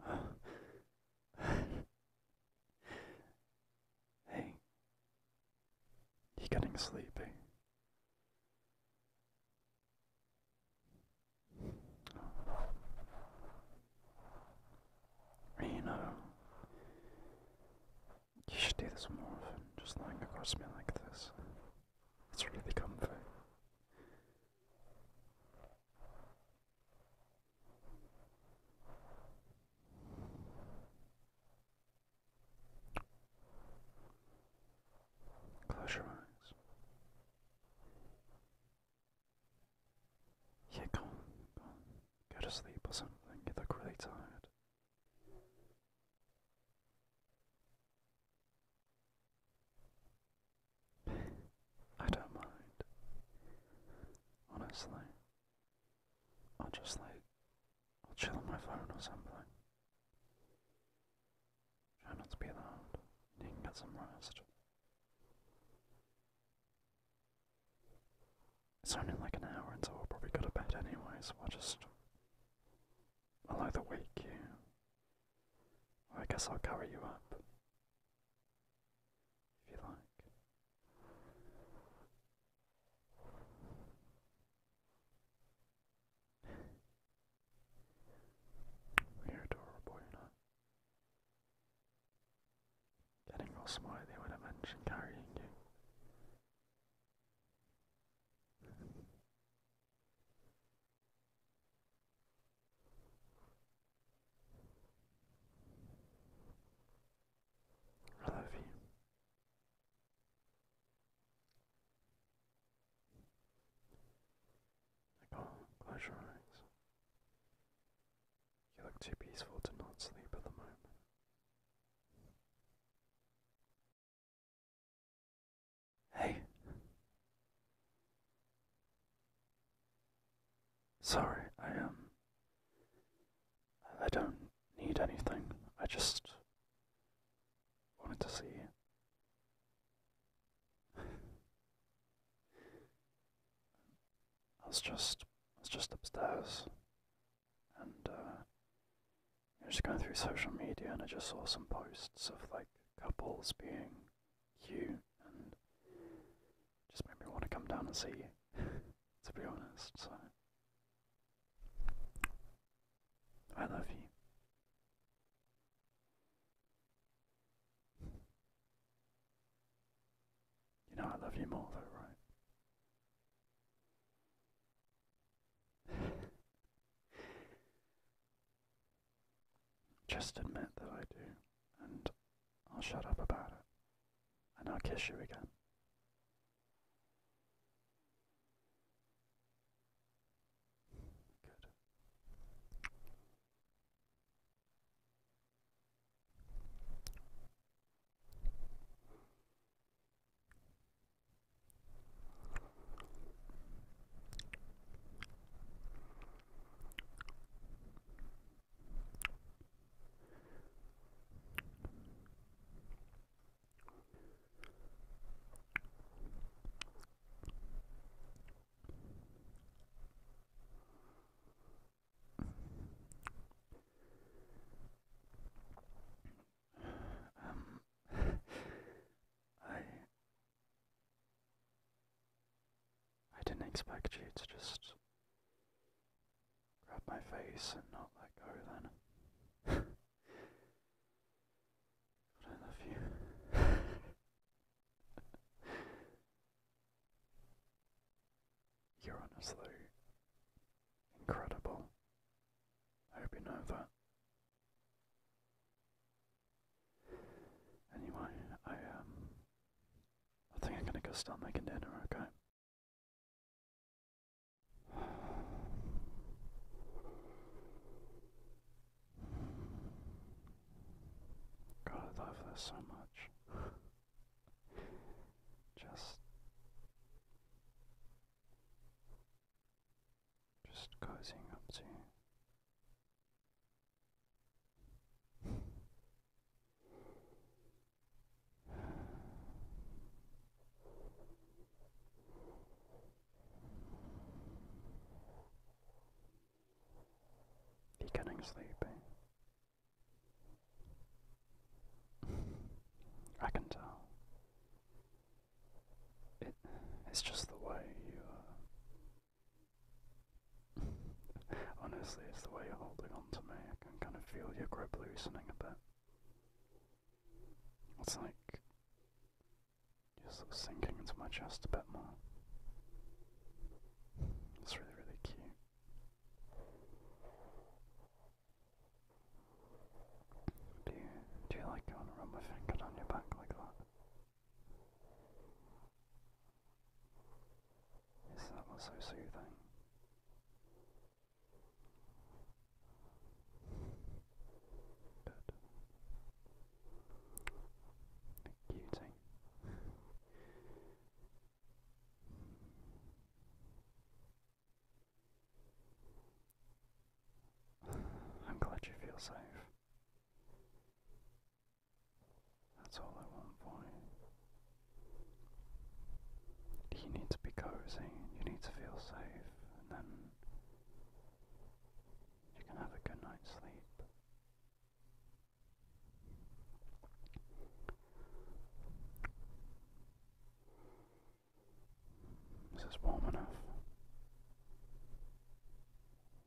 hey, you're getting sleepy. Eh? You know, you should do this more often, just lying across me like this. It's really comfy. Close your eyes. Yeah, go on, Go to sleep or something. You look really tired. I don't mind. Honestly. I'll just like I'll chill on my phone or something. Try not be loud. You some rest. It's only like an hour until I'll probably go to bed anyway, so I'll just I'll either wake you. Or I guess I'll cover you up if you like. You're adorable, you know. Getting all smiley when I mention carrying you à la vie. close your eyes. You look too peaceful to not sleep at the moment. Hey. Sorry, I Um, I don't need anything. I just wanted to see I was just, I was just upstairs, and uh, I was just going through social media, and I just saw some posts of like couples being you and just made me want to come down and see you, to be honest. So, I love you. You know, I love you more, though, right? Just admit that I do, and I'll shut up about it, and I'll kiss you again. Good. Um, I I didn't expect you to just grab my face and not let go then. but I love you. You're honestly incredible. I hope you know that. Anyway, I um I think I'm gonna go start making dinner, okay? God, I love this so much. just just cozying up to He's getting eh? I can tell. It, it's just the way you are. Uh, Honestly, it's the way you're holding on to me. I can kind of feel your grip loosening a bit. It's like you're sort of sinking into my chest a bit more. It's really, really cute. Do you, do you like it when my finger down your back like that? Yes, that was so soothing. Good. Cutie. I'm glad you feel safe. That's all I want for you. You need to be cozy, you need to feel safe, and then you can have a good night's sleep. Is this warm enough?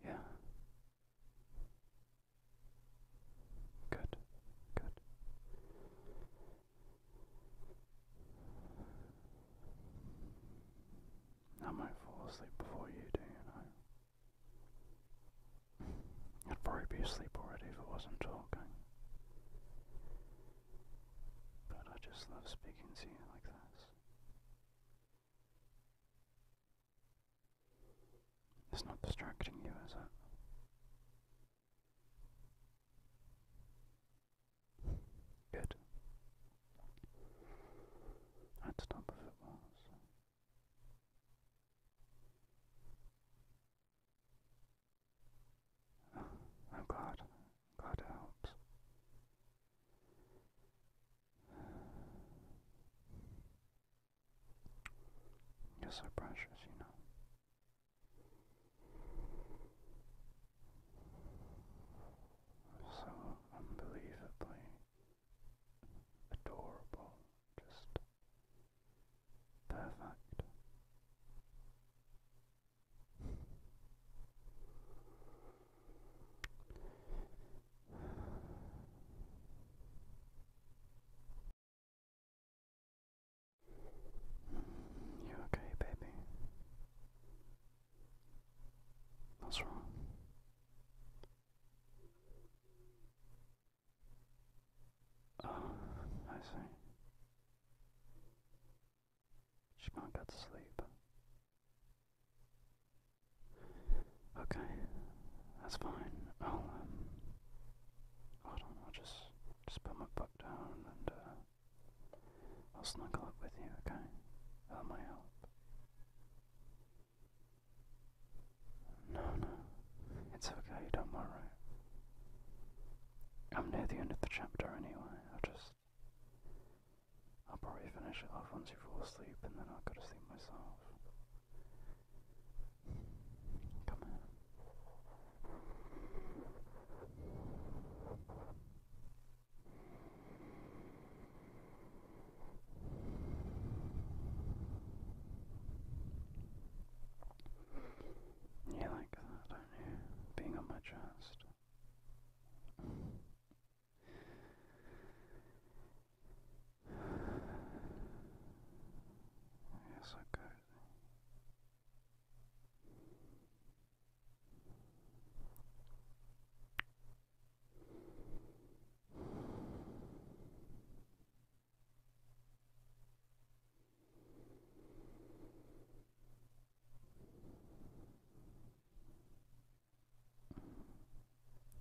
Yeah. Good. Good. I might fall asleep before you do, you know. I'd probably be asleep already if I wasn't talking. But I just love speaking to you like this. It's not distracting you, is it? Good. I'd stop if it was. Oh, I'm it helps. You're so precious, you know. So unbelievably adorable, just perfect. You okay, baby? What's wrong? Oh, I see. She can't get sleep. Okay, that's fine. I'll um, hold on. I'll just just put my book down and uh, I'll snuggle up with you. Okay, that might help. No, no, it's okay. Don't worry. I'm near the end of the chapter anyway. i just I'll probably finish it off once you fall asleep and then I'll go to sleep myself. Come in. You like that, do Being on my chest. Yes, I could.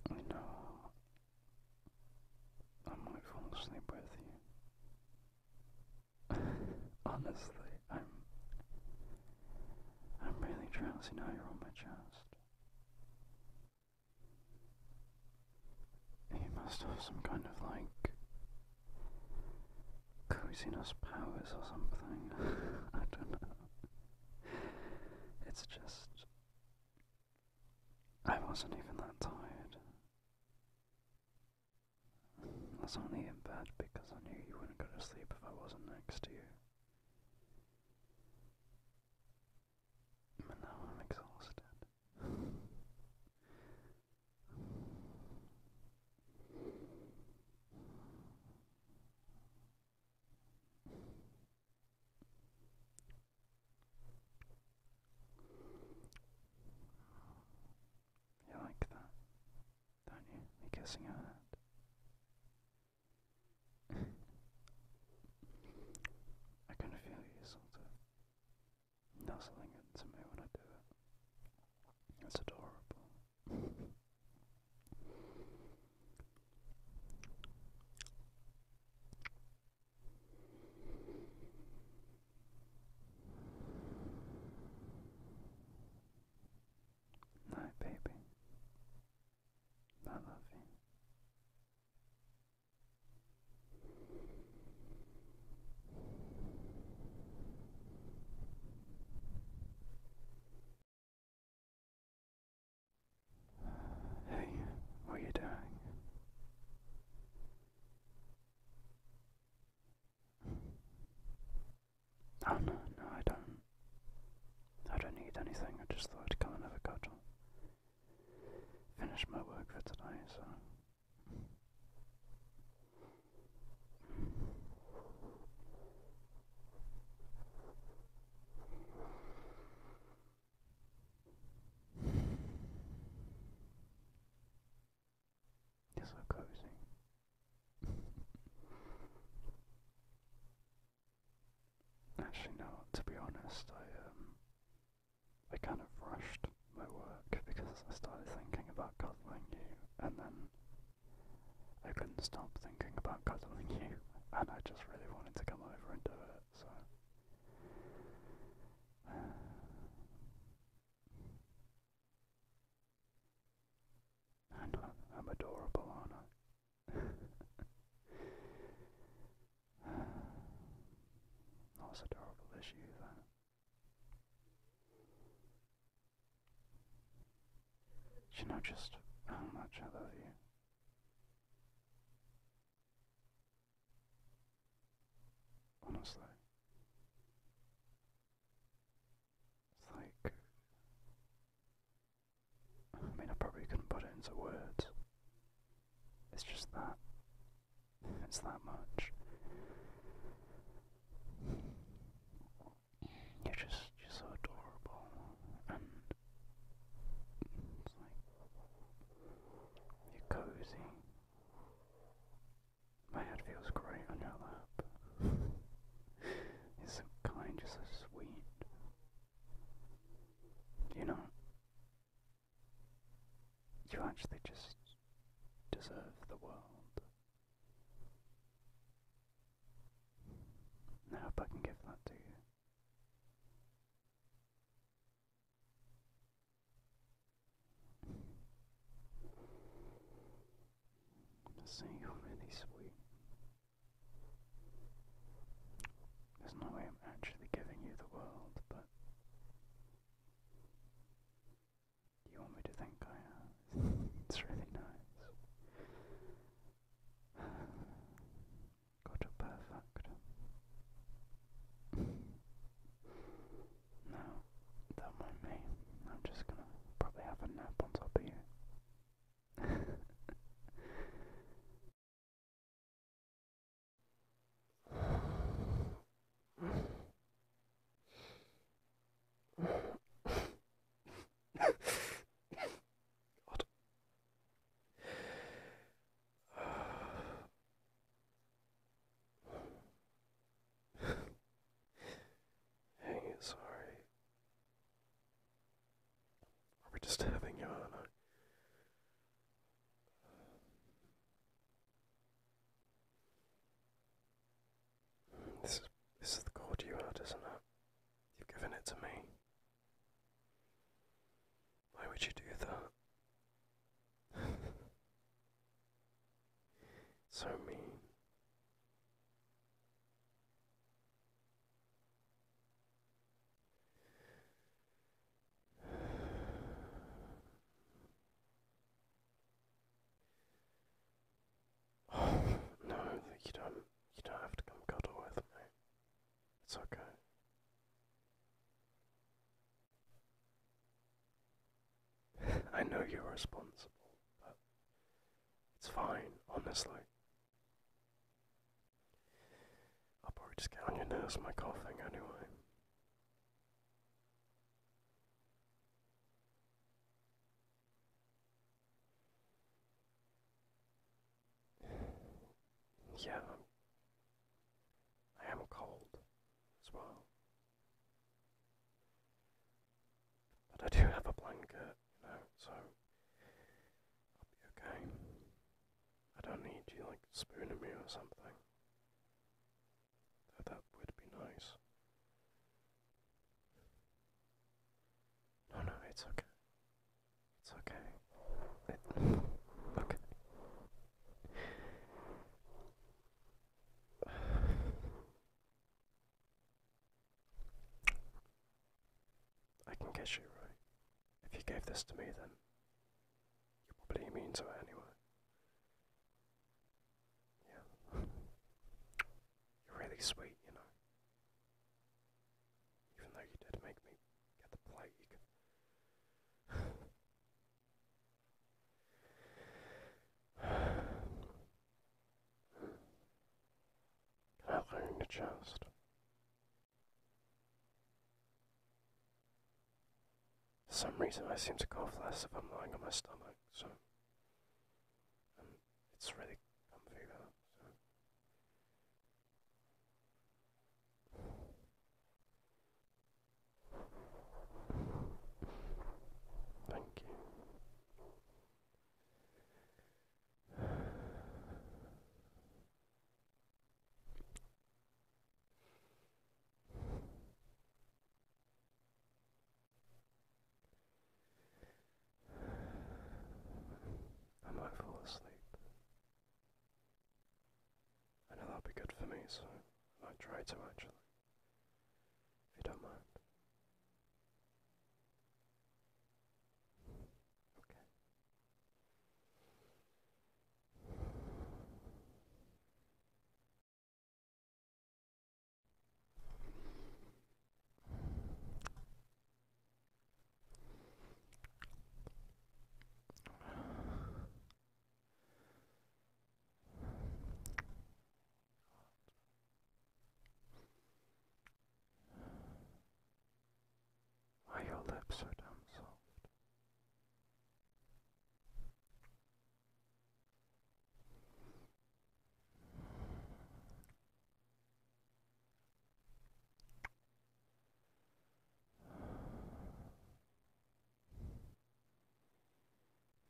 I know I might fall asleep with you. Honestly, I'm I'm really drowsy now you're on my chest. You must have some kind of like coziness powers or something. I don't know. It's just. I wasn't even that tired. I was only in bed because I knew you wouldn't go to sleep if I wasn't next to you. But now I'm exhausted. You like that, don't you? Me kissing her hand. I kind feel you sort of nuzzling into me when I do it. It's adorable. My baby, I love you. Hey, what are you doing? Oh, no, no, I don't. I don't need anything. I just thought I'd come and have a cuddle. Finish my work for today, so. You're cozy. Actually, no. To be honest, I um, I kind of rushed my work because I started thinking about cuddling you, and then I couldn't stop thinking about cuddling you, and I just really wanted to come over and do it, so. I, am adorable, aren't I? Not so adorable as you, you know just how much I love you? Honestly. It's like I mean I probably couldn't put it into words. It's just that it's that much. You're just you're so adorable and it's like you're cozy. My head feels great on your lap. you're so kind, you're so sweet. You know you actually just deserve the world. I hope I can give that to you. See, you're sweet. There's no way I'm actually giving you the world, but you want me to think I am. it's really nice. Got perfect. now, don't mind me. I'm just gonna probably have a nap on top of you. God. Hang it, Are just having you uh, on? This is, this is the chord you had, isn't it? You've given it to me. Why would you do that? so mean. no, you don't. You don't have to come cuddle with me. It's okay. I know you're responsible, but it's fine, honestly. I'll probably just get your nerves my coughing anyway. Yeah, I'm, cold as well. But I do have a blanket, you know, so I'll be okay. I don't need you like spooning me or something. Though that would be nice. No, no, it's okay. It's okay. It, okay. I can guess you right. If you gave this to me, then you probably mean to it anyway. Yeah. You're really sweet, you know. Even though you did make me get the plague. Outlining the chest. For some reason I seem to cough less if I'm lying on my stomach, so it's really comfy though. Thank you. I might fall asleep. I know that'll be good for me, so I might try to actually. If you don't mind. Okay. Why your lips are damn soft? It's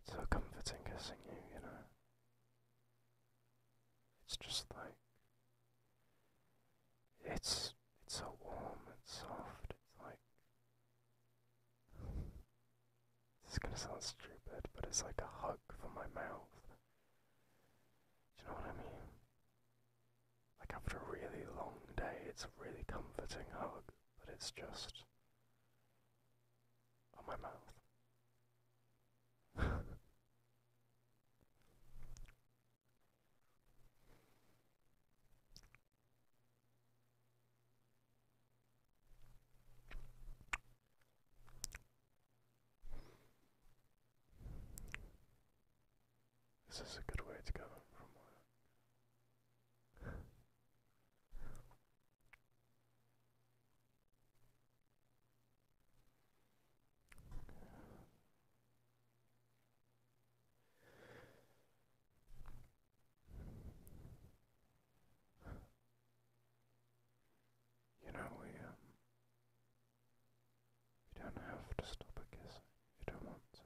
So comforting kissing you, you know. It's just like it's it's so warm and soft. It's like this is gonna sound stupid, but it's like a hug for my mouth. Do you know what I mean? Like after a really long day, it's a really comforting hug, but it's just on my mouth. This is a good way to go from work. You know, we, um, you don't have to stop at kissing if you don't want to.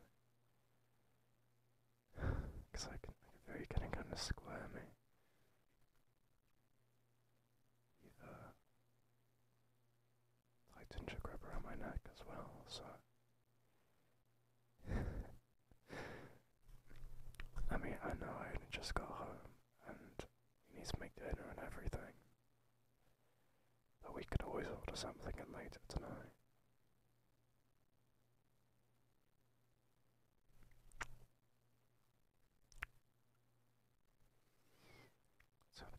Because I can, I very kind of kind of squirmy. Either tighten your grip around my neck as well, so. I mean, I know I only just got home, and he needs to make dinner and everything. But we could always order something in later tonight. It's up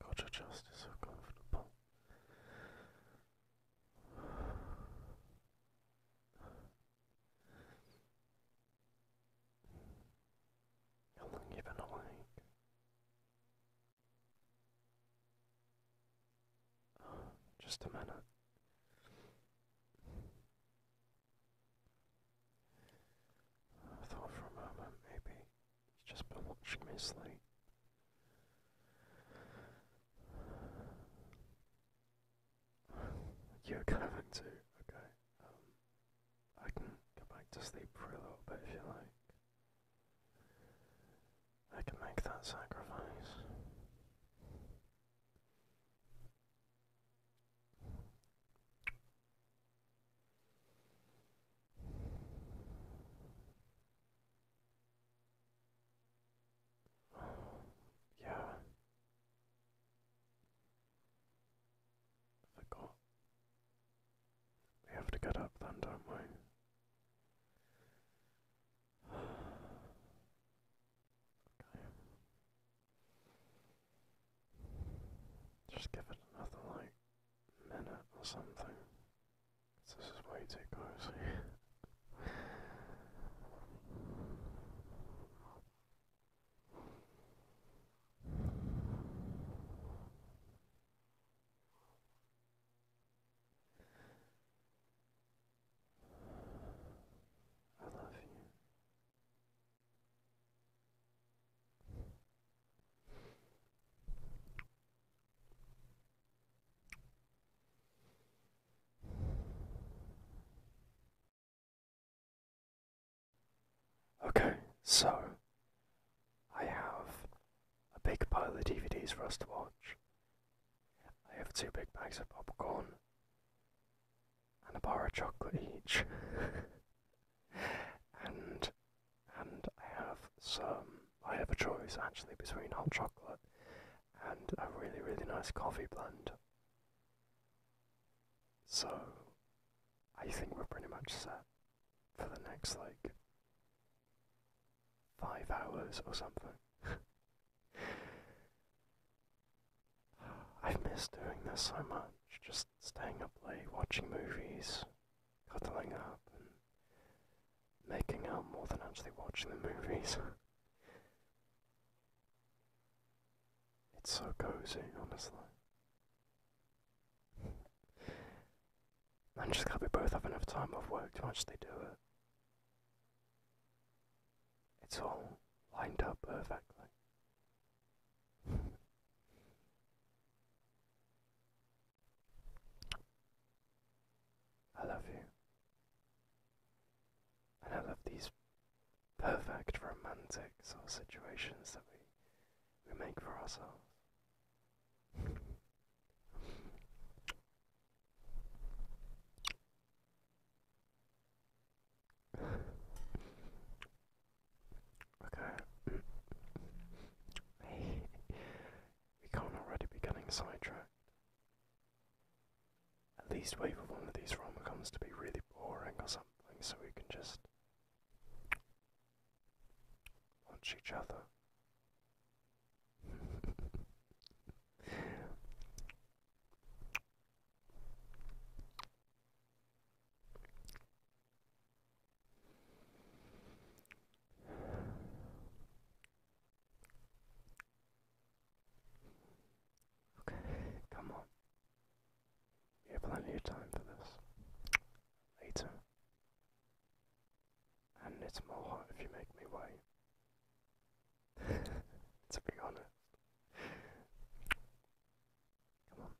Culture just is so comfortable. How long you been awake? just a minute. I thought for a moment maybe he's just been watching me sleep. You're coming too, okay. Um, I can go back to sleep for a little bit if you like. I can make that sacrifice. yeah. forgot. We have to get up then, don't we? okay. Just give it another like minute or something this is way too close. I love you. Okay, so I have a big pile of DVDs for us to watch. I have two big bags of popcorn and a bar of chocolate each. and and I have some. I have a choice actually between hot chocolate and a really, really nice coffee blend. So, I think we're pretty much set for the next like five hours or something. I've missed doing this so much, just staying up late, watching movies, cuddling up and making out more than actually watching the movies. it's so cozy, honestly. I'm just glad we both have enough time off work to They do it. It's all lined up perfectly. I love you. And I love these perfect romantics or situations that we, we make for ourselves. okay. We can't already be getting sidetracked. At least wait for one of these romcoms to be really boring or something so we can just watch each other. Okay, come on. You have plenty of time for this. Later. And it's more hot if you make me wait. to be honest. Come on.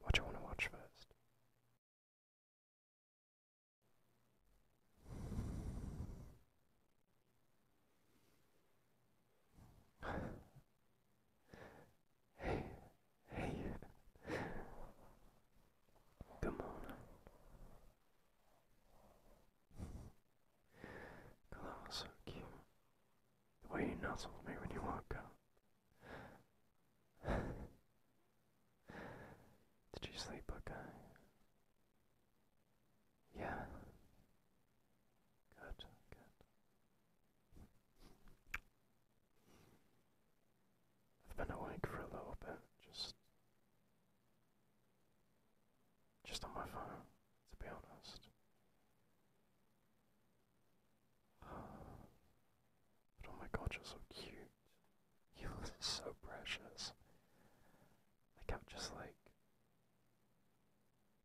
What do you want to watch first? Hey, hey, come on, God, that so cute. The way you nuzzled me when you woke up. Did you sleep okay? Yeah. Good, good. I've been awake for a little bit, just just on my phone, to be honest oh my god, you're so cute. You look so precious. I kept just like.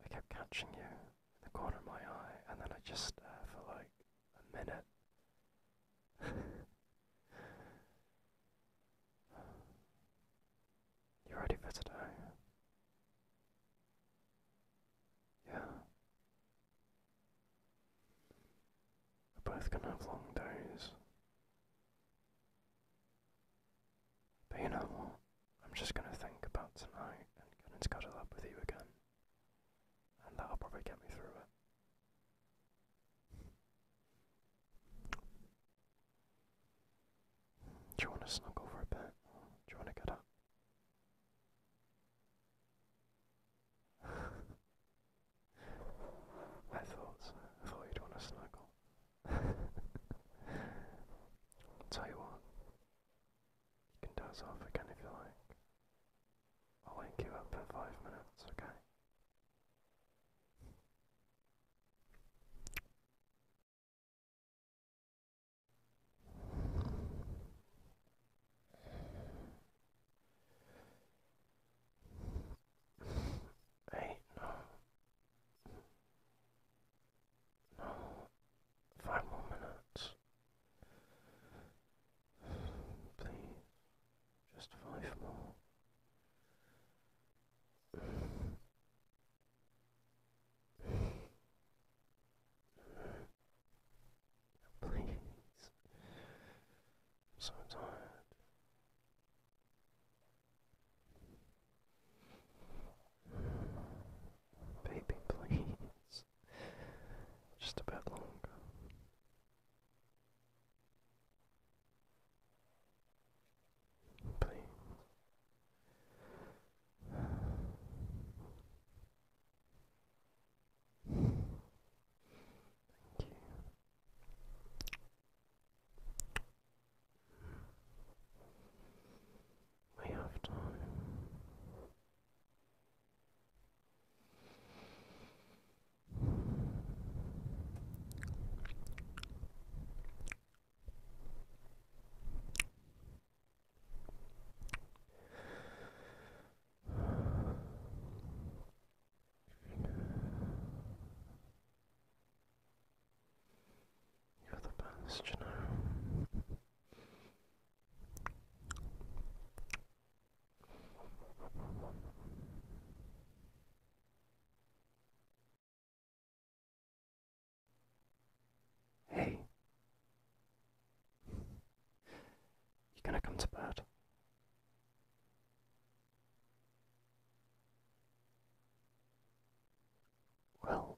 I kept catching you in the corner of my eye, and then I just stare for like a minute. you ready for today? Yeah. We're both gonna have long days. But you know I'm just gonna think about tonight and get into cuddle up with you again. And that'll probably get me through it. Do you want to snuggle for a bit? do you want to get up? I thought thought you'd want to snuggle. I'll You can doze off again if you like. I'll wake you up in five minutes, okay? Eight, no. No. Five more minutes. Please. Just five more. Please. so tired. Baby, please. Just a bit longer. Please. Thank you. We have time. You're the best, you know. Hey, you're going to come to bed. Well,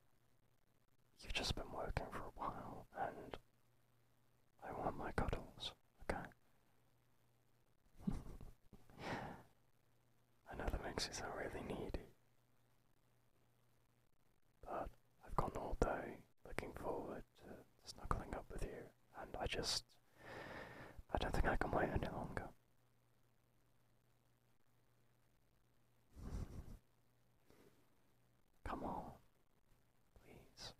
you've just been working for a while and I want my cuddles, okay? I know that makes you sound really needy, but I've gone all day looking forward to snuggling up with you, and I just. I don't think I can wait any longer. Come on, please.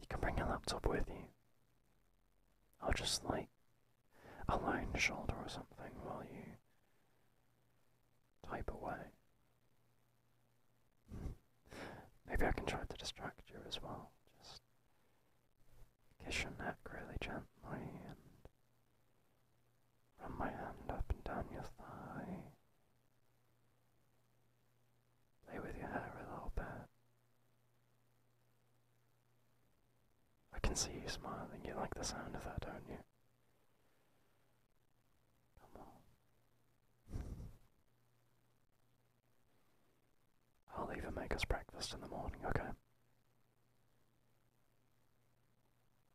You can bring your laptop with you. I'll just like a lounge shoulder or something while you type away Maybe I can try to distract you as well. Just kiss your neck really gently and run my hand up and down your thigh. Play with your hair a little bit. I can see you smiling. You like the sound of that, don't you? Come on. I'll even make us breakfast in the morning, okay?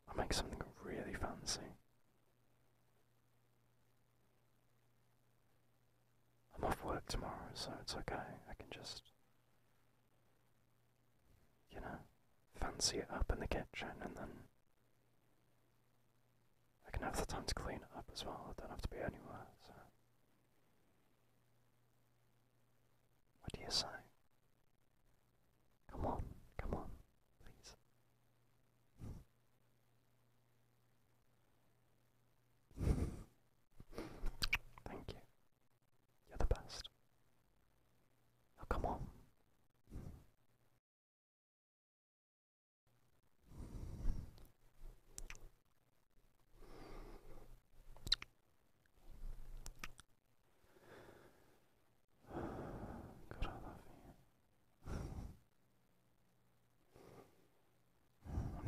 I'll make something really fancy. I'm off work tomorrow, so it's okay. I can just, you know, fancy it up in the kitchen and then I can have the time to clean it up as well. I don't have to be anywhere, so. What do you say? Come on, come on, please. Thank you. You're the best. Oh, come on no,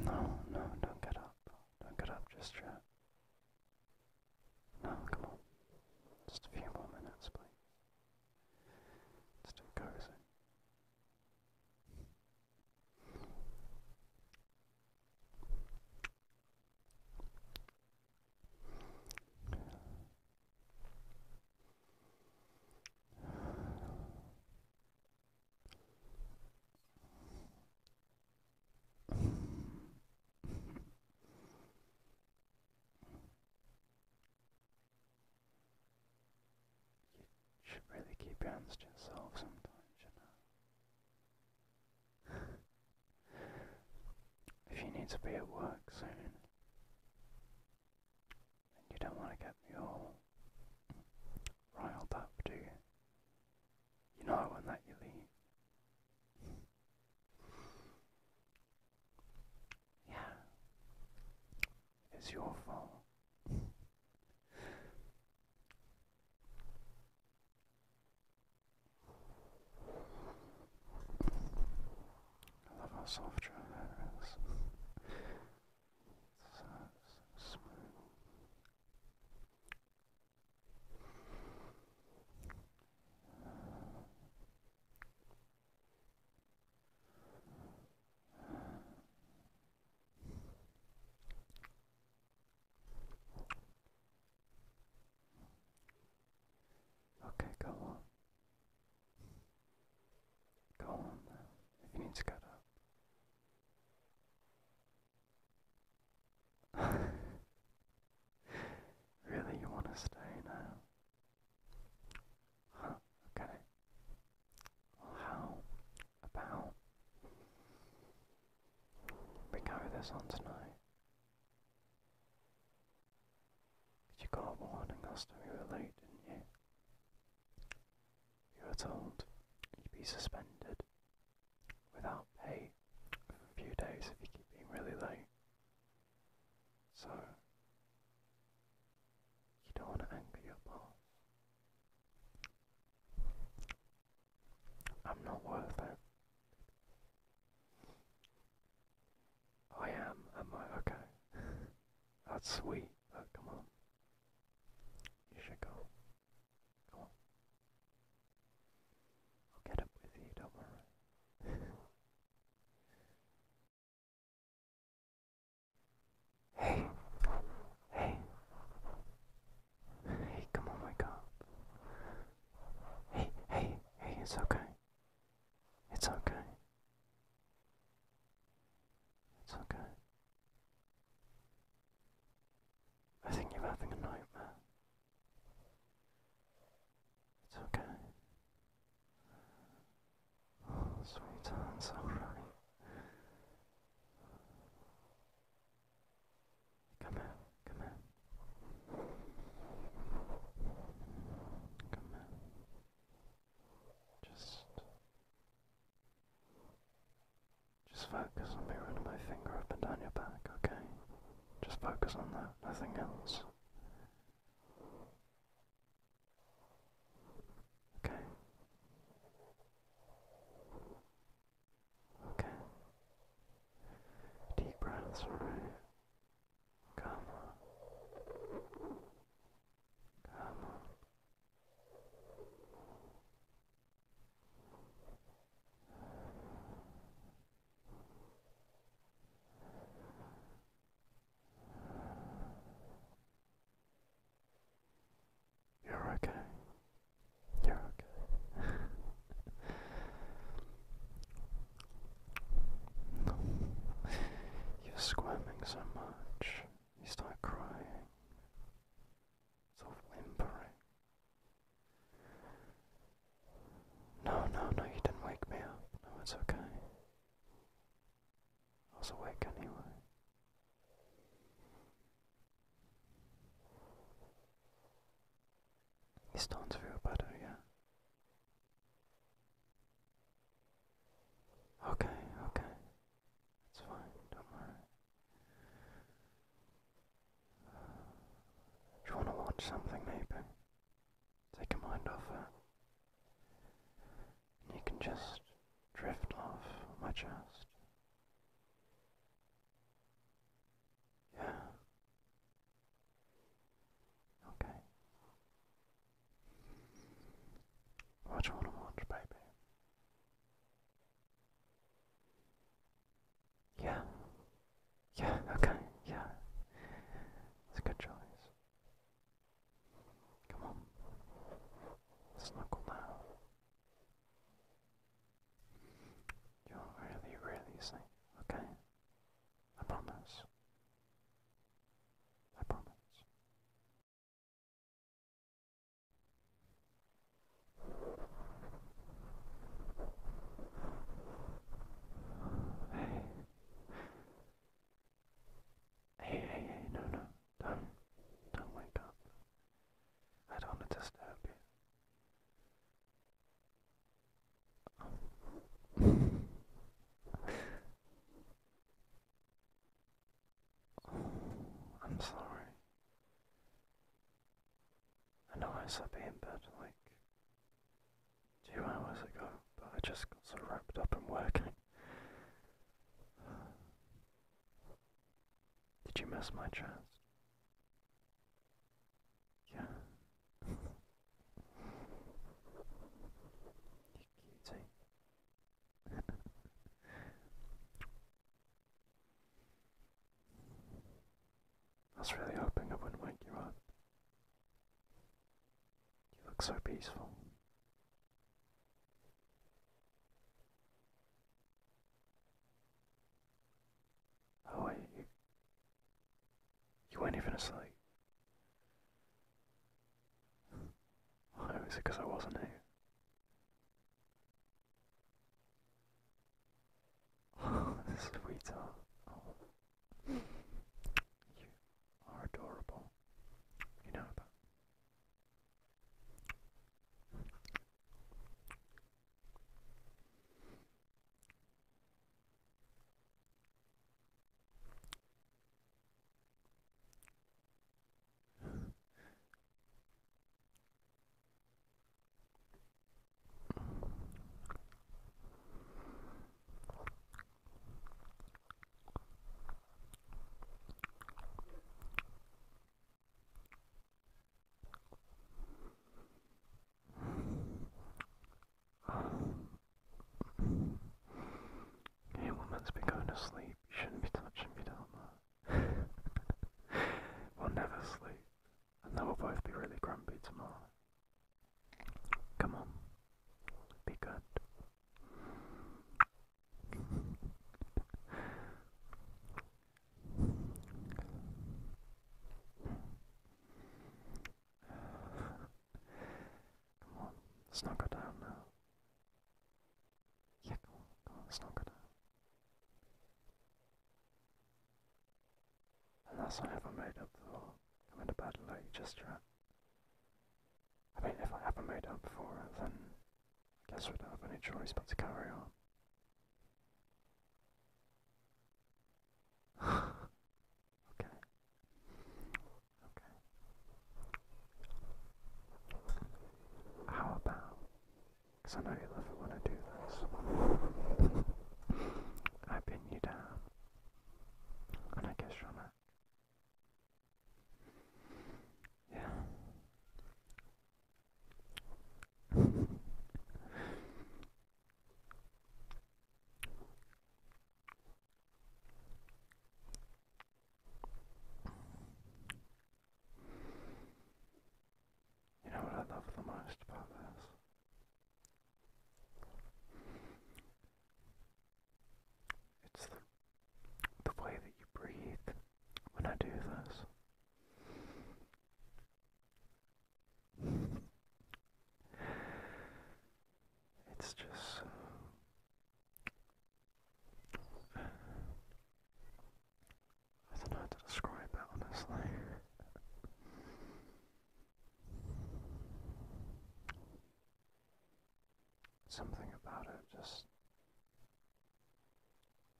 no, don't get up. Don't get up just yet. No, come on. Just a few more minutes, please. Let's Still goes in. You should really keep your hands to yourself sometimes, you know. if you need to be at work soon, and you don't want to get me all riled up, do you? You know I won't let you leave. Yeah. It's your fault. I love how soft your hair is. so, so smooth. Okay, go on. Go on you need to get up. really, you want to stay now? Huh, okay. Well, how about we carry this on tonight? You got warning last time you were late, didn't you? You were told you'd be suspended without pay for a few days if you keep being really late. So, you don't want to anger your boss. I'm not worth it. I am, am I? Okay. That's sweet, come on. You should go. Come on. I'll get up with you, don't worry. Hey, hey, hey, come on, wake up. Hey, hey, hey, it's okay. It's okay. It's okay. I think you're having a nightmare. It's okay. Oh, sweetheart's alright. Come here, come here. Come here. Just. Just focus on me running my finger up and down your back, okay? Just focus on that, nothing else. Okay. Okay. Deep breaths, alright. Come on. Come on. You're okay. You're okay. You're squirming so much, you start crying, sort of whimpering. No, no, no, you didn't wake me up. No, it's okay. I was awake anyway. He's starting to feel better, yeah? Okay, okay. It's fine, don't worry. Do you want to watch something, maybe? Take your mind off it. And you can just drift off my chest. Yeah. Okay. What you want to watch, baby? Yeah. Yeah, okay, yeah. It's a good choice. Come on. Snuggle now. You're really, really safe, okay? I promise. I promise. Hey, Hey, hey, hey, no, no, don't, don't wake up. I don't want to disturb you. I'm sorry. I know I slept in bed like two hours ago, but I just got so wrapped up in working. Did you miss my chance? Yeah. you cutie. I was really hoping I wouldn't wake you up. You look so peaceful. Oh you, you weren't even asleep. Oh, is it because I wasn't here? sweetheart. You are adorable. You know that. Hey, woman's been going to sleep. You shouldn't be touching me down we'll never sleep. And then we'll both be really grumpy tomorrow. Come on. Be good. Come on, let's not go down now. Yeah, come on, come on, let's not go down. And that's I ever made up for. I'm in a bad light, just trying I mean, if I ever made up for it, then I guess we don't have any choice but to carry on. okay. Okay. How about? I know you love it when I do this. I pin you down. I guess from it. Yeah. You know what I love the most about this? It's the, way that you breathe when I do this. It's just uh, I don't know how to describe it honestly. Something about it just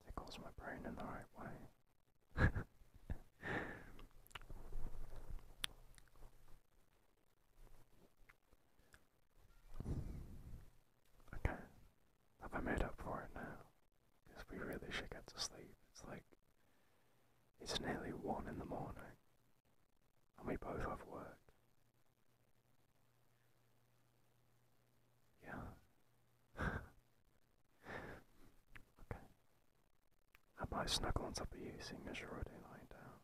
tickles my brain in the right way. okay, have I made up for it now? Because we really should get to sleep. It's like, it's nearly one in the morning and we both have work. Yeah. okay. I might snuggle on top of you seeing as you're already lying down.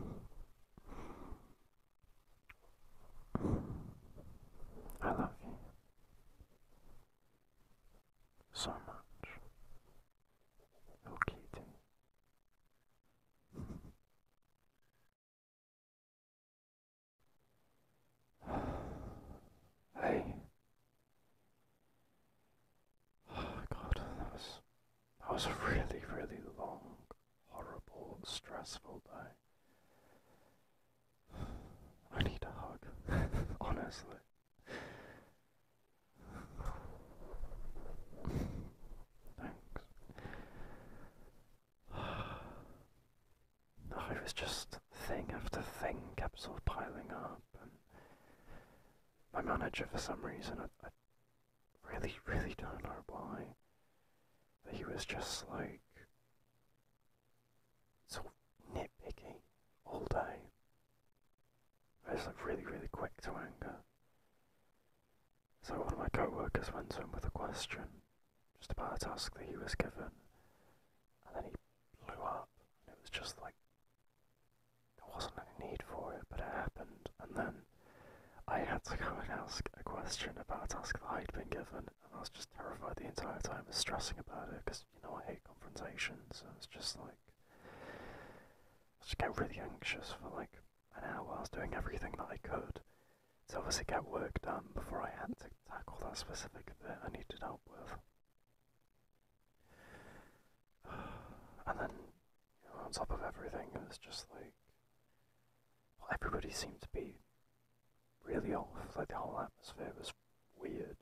Yeah. I love you so much, little kitty. hey. Oh God, that was that was a really, really long, horrible, stressful day. I need a hug, honestly. Thanks. Oh, it was just thing after thing kept sort of piling up, and my manager, for some reason, really, really don't know why. But he was just like so of nitpicky all day. I was like really, really quick to anger. So one of my co-workers went to him with a question, just about a task that he was given, and then he blew up, and it was just like, there wasn't a need for it, but it happened, and then I had to go and ask a question about a task that I'd been given, and I was just terrified the entire time and stressing about it because, you know, I hate confrontation, so it's just like. I just get really anxious for like an hour. I was doing everything that I could to obviously get work done before I had to tackle that specific bit I needed help with. And then, you know, on top of everything, it was just like well, everybody seemed to be really off, like the whole atmosphere was weird.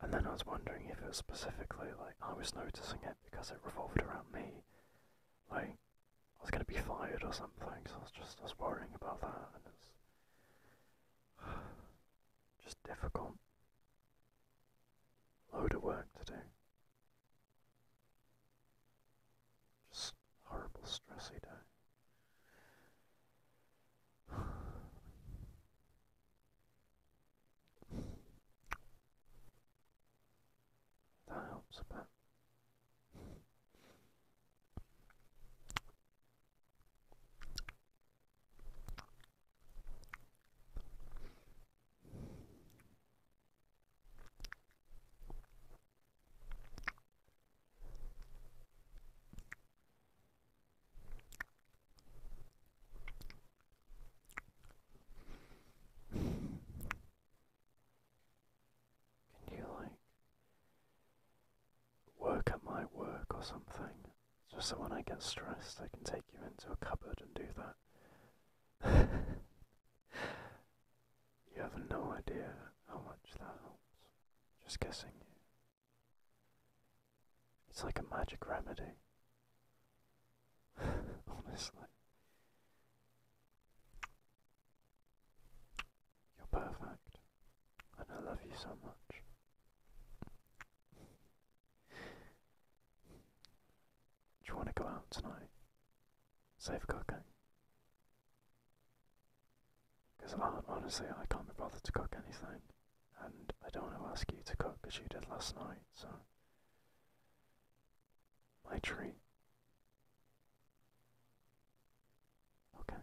And then I was wondering if it was specifically like I was noticing it because it revolved around me. Like, I was going to be fired or something, so I was just I was worrying about that, and it's just difficult. Load of work to do. Just horrible, stressy day. That helps a bit. Can you like work at my work or something? Just so when I get stressed, I can take you into a cupboard and do that you have no idea how much that helps. Just guessing you. It's like a magic remedy. Honestly. You're perfect. And I love you so much. Do you want to go out tonight? Safe cooking? Because honestly, I can't be bothered to cook anything. And I don't want to ask you to cook as you did last night, so. My treat. Okay.